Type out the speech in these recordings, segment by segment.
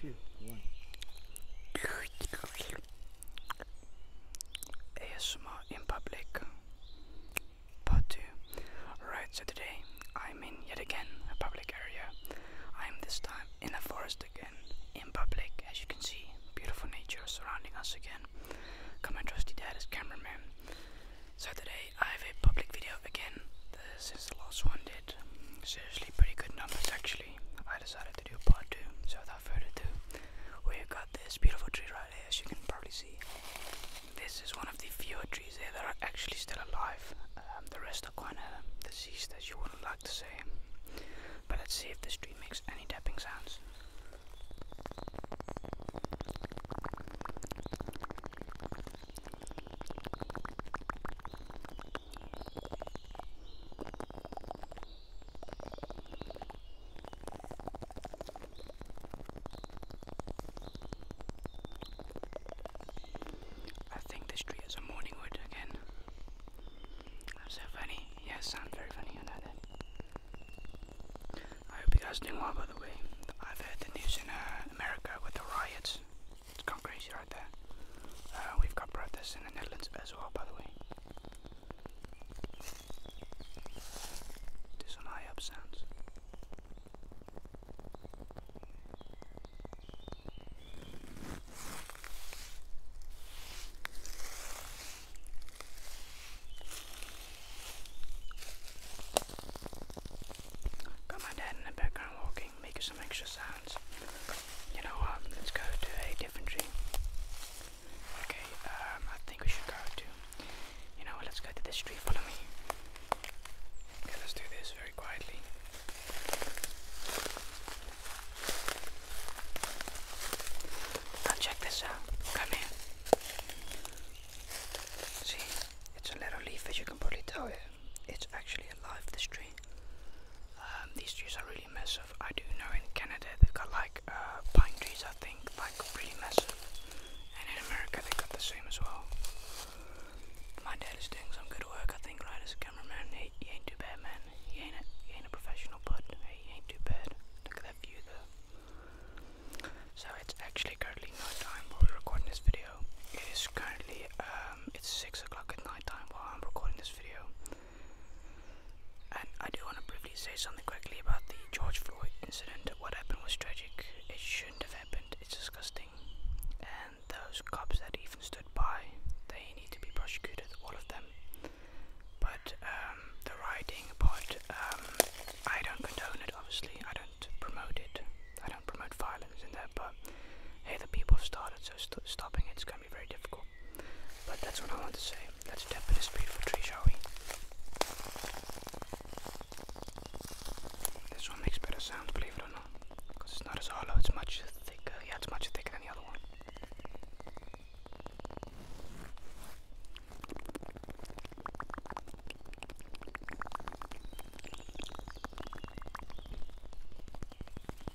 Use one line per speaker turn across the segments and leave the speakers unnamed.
two, one. ASMR in public part two. Right, so today I'm in yet again a public area. I'm this time in a forest again, in public, as you can see, beautiful nature surrounding us again. Come and trusty dad is cameraman. So today I have a public video again. since the last one did. Seriously, pretty good numbers actually. I decided to do part two. So without further ado, we've got this beautiful tree right here, as you can probably see. This is one of the fewer trees there that are actually still alive. Um, the rest are kind of deceased, as you wouldn't like to say. But let's see if this tree makes any tapping sounds. I think this tree is a morning wood again. I'm so funny. Yes, I'm very funny, I I hope you guys doing well by the way. I've heard the news in uh, America with the riots it's gone crazy right there. Uh, we've got brothers in the Netherlands as well, by the way. Do some high up sounds. Got my dad in the background walking talking, some extra sounds. You know let's go to a different tree. Okay, um, I think we should go to. You know Let's go to this tree. Follow me. Okay, let's do this very quietly. Now check this out. Come here. See, it's a little leaf as you can probably tell it it's actually alive, this tree. Um, these trees are really massive. I do know in Canada they've got like uh, pine trees, I think, like pretty massive. And in America they've got the same as well. My dad is doing some good work, I think, right, as a cameraman. He, he ain't too bad, man. He ain't, a, he ain't a professional, but he ain't too bad. Look at that view, though. So it's actually currently night time while we're recording this video. It is currently uh, it's 6 o'clock at night time while I'm recording this video. And I do want to briefly say something quickly about the George Floyd incident. What happened was tragic. It shouldn't have happened. It's disgusting. And those cops that even stood by, they need to be prosecuted, all of them. But um, the rioting part, um, I don't condone it, obviously. I don't promote it. I don't promote violence in that, but hey, the people have started, so stopping it's coming very difficult. But that's what I want to say. Let's tap in this beautiful tree, shall we? This one makes better sounds, believe it or not. Because it's not as hollow, it's much thicker. Yeah, it's much thicker than the other one.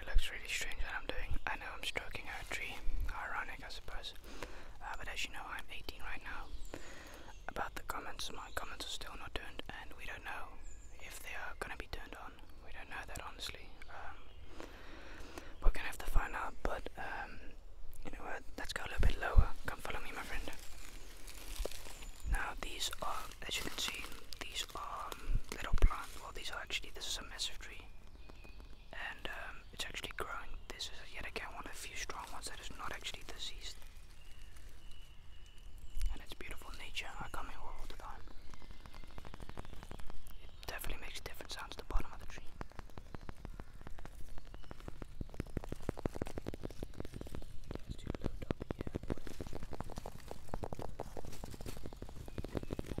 It looks really strange what I'm doing. I know I'm stroking a tree. Ironic, I suppose. Uh, but as you know, I'm 18 right now. About the comments, my comments are still not turned, and we don't know if they are going to be turned on. We don't know that honestly. Um, we're going to have to find out, but um, you know what? Let's go a little bit lower. Come follow me, my friend. Now these are, as you can see, these are um, little plants. Well, these are actually, this is a massive tree, and um, it's actually growing. This is yet again one of the few strong ones that is not actually diseased, and it's beautiful nature. I come here all the time. It definitely makes a different sounds at the bottom of the tree. That's too low, dummy. Yeah, boy.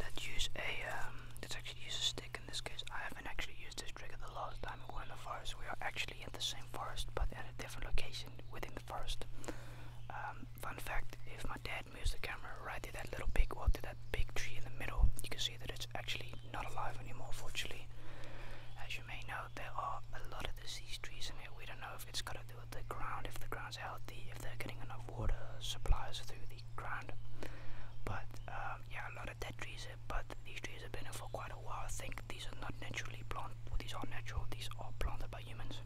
let use a, um, actually use a stick in this case. I haven't actually used this trigger the last time we were in the forest. We are actually in the same forest, but at a different location within the forest. Um, fun fact, if my dad moves the camera right to that little big, well to that big tree in the middle, you can see that it's actually not alive anymore, fortunately. As you may know, there are a lot of disease trees in here. We don't know if it's to do with the ground, if the ground healthy if they're getting enough water supplies through the ground. But um, yeah, a lot of dead trees, uh, but these trees have been here for quite a while. I think these are not naturally planted, these are natural, these are planted by humans,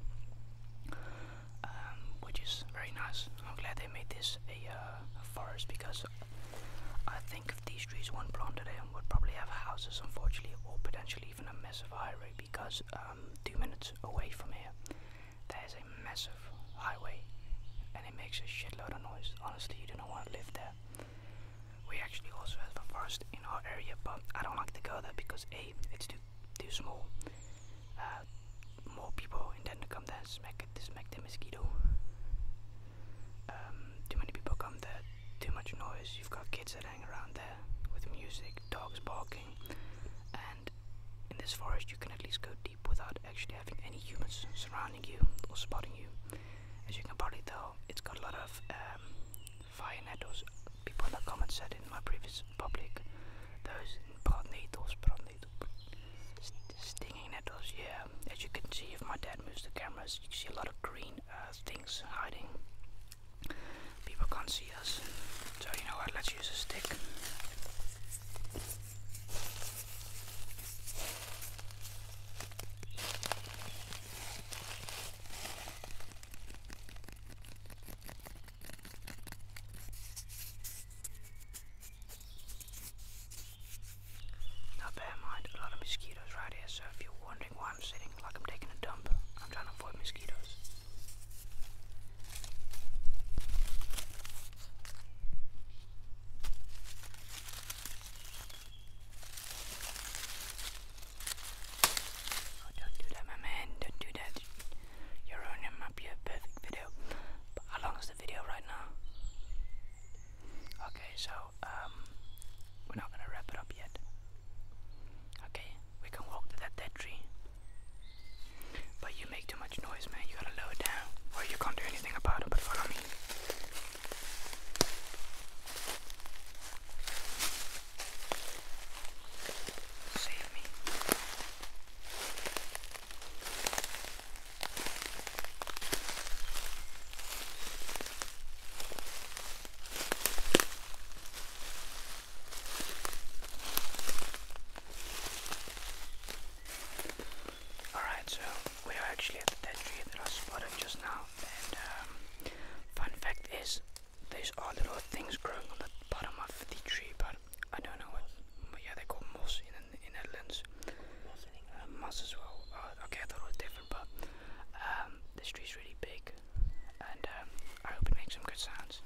um, which is very nice. I'm glad they made this a, uh, forest because I think if these trees weren't planted in, would probably have houses, unfortunately, or potentially even a massive highway because um, two minutes away from here there's a massive highway and it makes a shitload of noise. Honestly, you don't want to live there. We actually also have a forest in our area, but I don't like to go there because A, it's too, too small. Uh, more people intend to come there and smack, it, smack the mosquito. Um, too many people come there, too much noise. You've got kids that hang around there with music, dogs barking, and in this forest you can at least go without actually having any humans surrounding you or spotting you. As you can probably tell, it's got a lot of um, fire nettles. People in the comments said in my previous public, those broad needles, broad needles, st stinging nettles. Yeah, as you can see, if my dad moves the cameras, you see a lot of green uh, things hiding. People can't see us, so you know what? Let's use a stick. Now bear in mind, a lot of mosquitoes right here, so if you're wondering why I'm sitting like I'm taking a dump, I'm trying to avoid mosquitoes. Oh, don't do that, my man. Don't do that. You're ruining my perfect video. But how long is the video right now? Okay, so um, we're not gonna wrap it up yet. Okay, we can walk to that dead tree. But you make too much noise, man. You gotta lower down, or you can't do anything about it. But follow me. Save me. Alright, so we are actually at the dead tree that I spotted just now, and um, fun fact is, there's all little things growing on the bottom of the tree, but I don't know what, but yeah, they call moss in the Netherlands. Uh, moss as well. Uh, okay, I thought it was different, but um, this tree's really big, and um, I hope it makes some good sounds.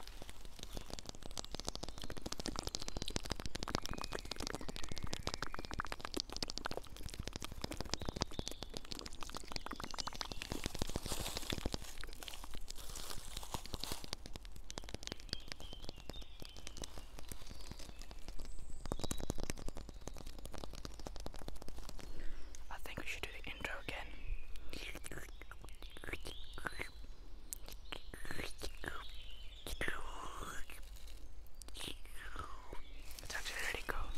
I think we should do the intro again. It's actually really cool.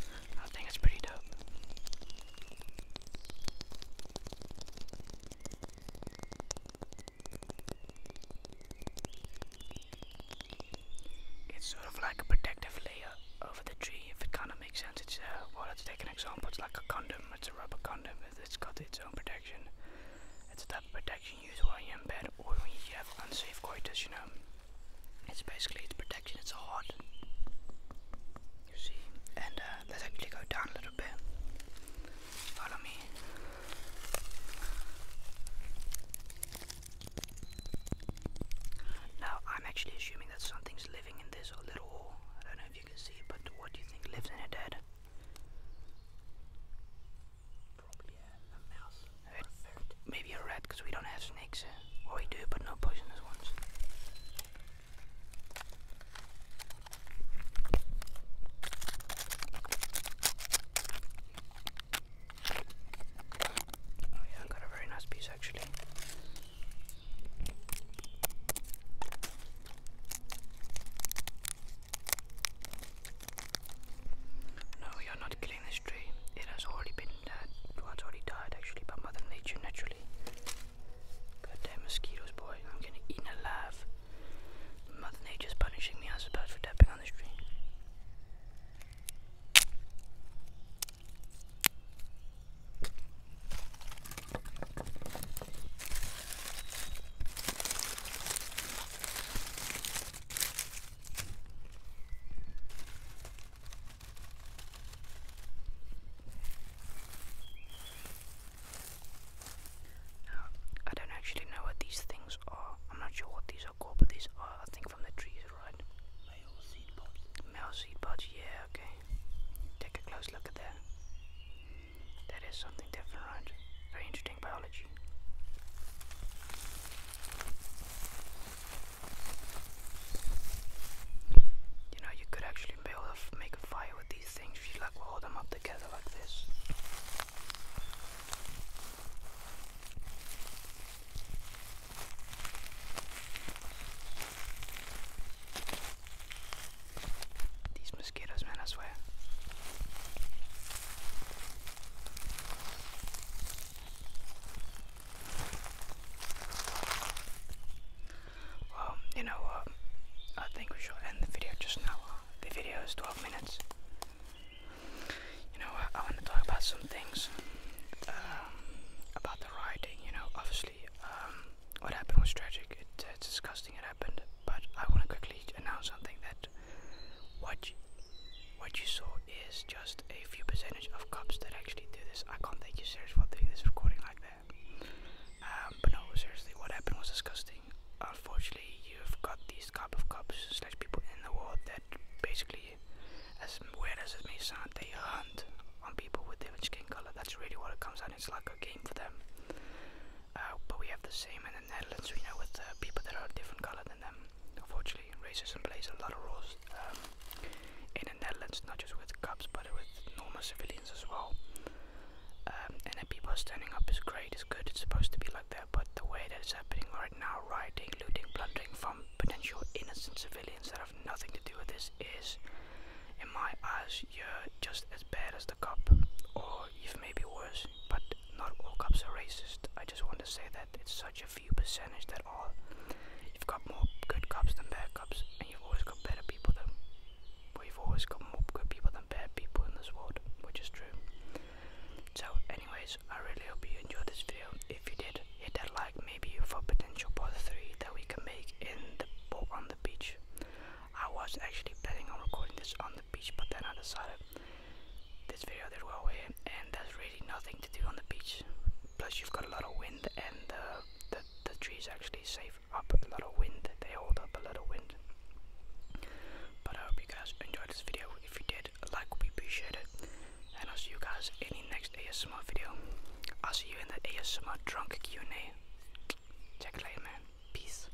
I think it's pretty dope. It's sort of like a protective layer over the tree, if it kind of makes sense. It's uh, well, let's take an example. It's like a condom. It's a rubber condom it's got its own protection. It's a type of protection used while you're in bed or when you have unsafe coitus, you know. It's basically it's protection, it's hard. You see? And uh, let's actually go down a little bit. Follow me. Now, I'm actually assuming that something's living in this little hole. I don't know if you can see, but what do you think lives in it, Dad? Maybe a rat, because we don't have snakes. Eh? or we do, but no poisonous ones. Oh yeah, I got a very nice piece actually. No, we are not killing this tree. It has already been dead. Uh, Once already died actually by Mother Nature naturally. Goddamn mosquitoes, boy. I'm getting eaten alive. Mother Nature's punishing me, I suppose, for tapping on this tree. I don't actually know what these things are. I'm not sure what these are called, but these are, I think, from the trees, right? Male seed Male seed pods, yeah, okay. Take a close look at that. That is something different, Very interesting biology. You know, you could actually build a, make a fire with these things if you like hold them up together like this. These mosquitoes, man, I swear. Well, you know I think we should end the video just now. The video is 12 minutes. You know I want to talk about some things um, about the rioting. You know, obviously, um, what happened was tragic. it's disgusting interesting happened, but I want to quickly announce something that what you, what you saw is just a few percentage of cops that actually do this. I can't thank you seriously for doing this recording like that. Um, but no, seriously, what happened was disgusting. Unfortunately, you've got these type of cops slash people in the world that basically, as weird as it may sound, they hunt on people with different skin color. That's really what it comes out. It's like a game for them. Uh, but we have the same in the Netherlands, we know with people that are different color than them, unfortunately, racism plays a lot of roles um, in the Netherlands, not just with cops, but with normal civilians as well. Um, and then people are standing up is great, it's good, it's supposed to be like that, but the way that it's happening right now, rioting, looting, plundering from potential innocent civilians that have nothing to do with this is, in my eyes, you're just as bad as the cop, or even maybe worse, but not all cops are racist. I just want to say that it's such a few percentage that all. You've got more good cops than bad cops, and you've always got better people than. Well, you've always got more good people than bad people in this world, which is true. So, anyways, I really hope you enjoyed this video. If you did, hit that like, maybe for potential part three that we can make in the on the beach. I was actually planning on recording this on the beach, but then I decided this video did well and there's really nothing to do on the beach. Plus, you've got a lot of wind, and the the trees actually save up a lot of wind. They hold up a lot of wind. But I hope you guys enjoyed this video. If you did, like would be appreciated. And I'll see you guys in the next ASMR video. I'll see you in the ASMR drunk Q&A. Check it later, man. Peace.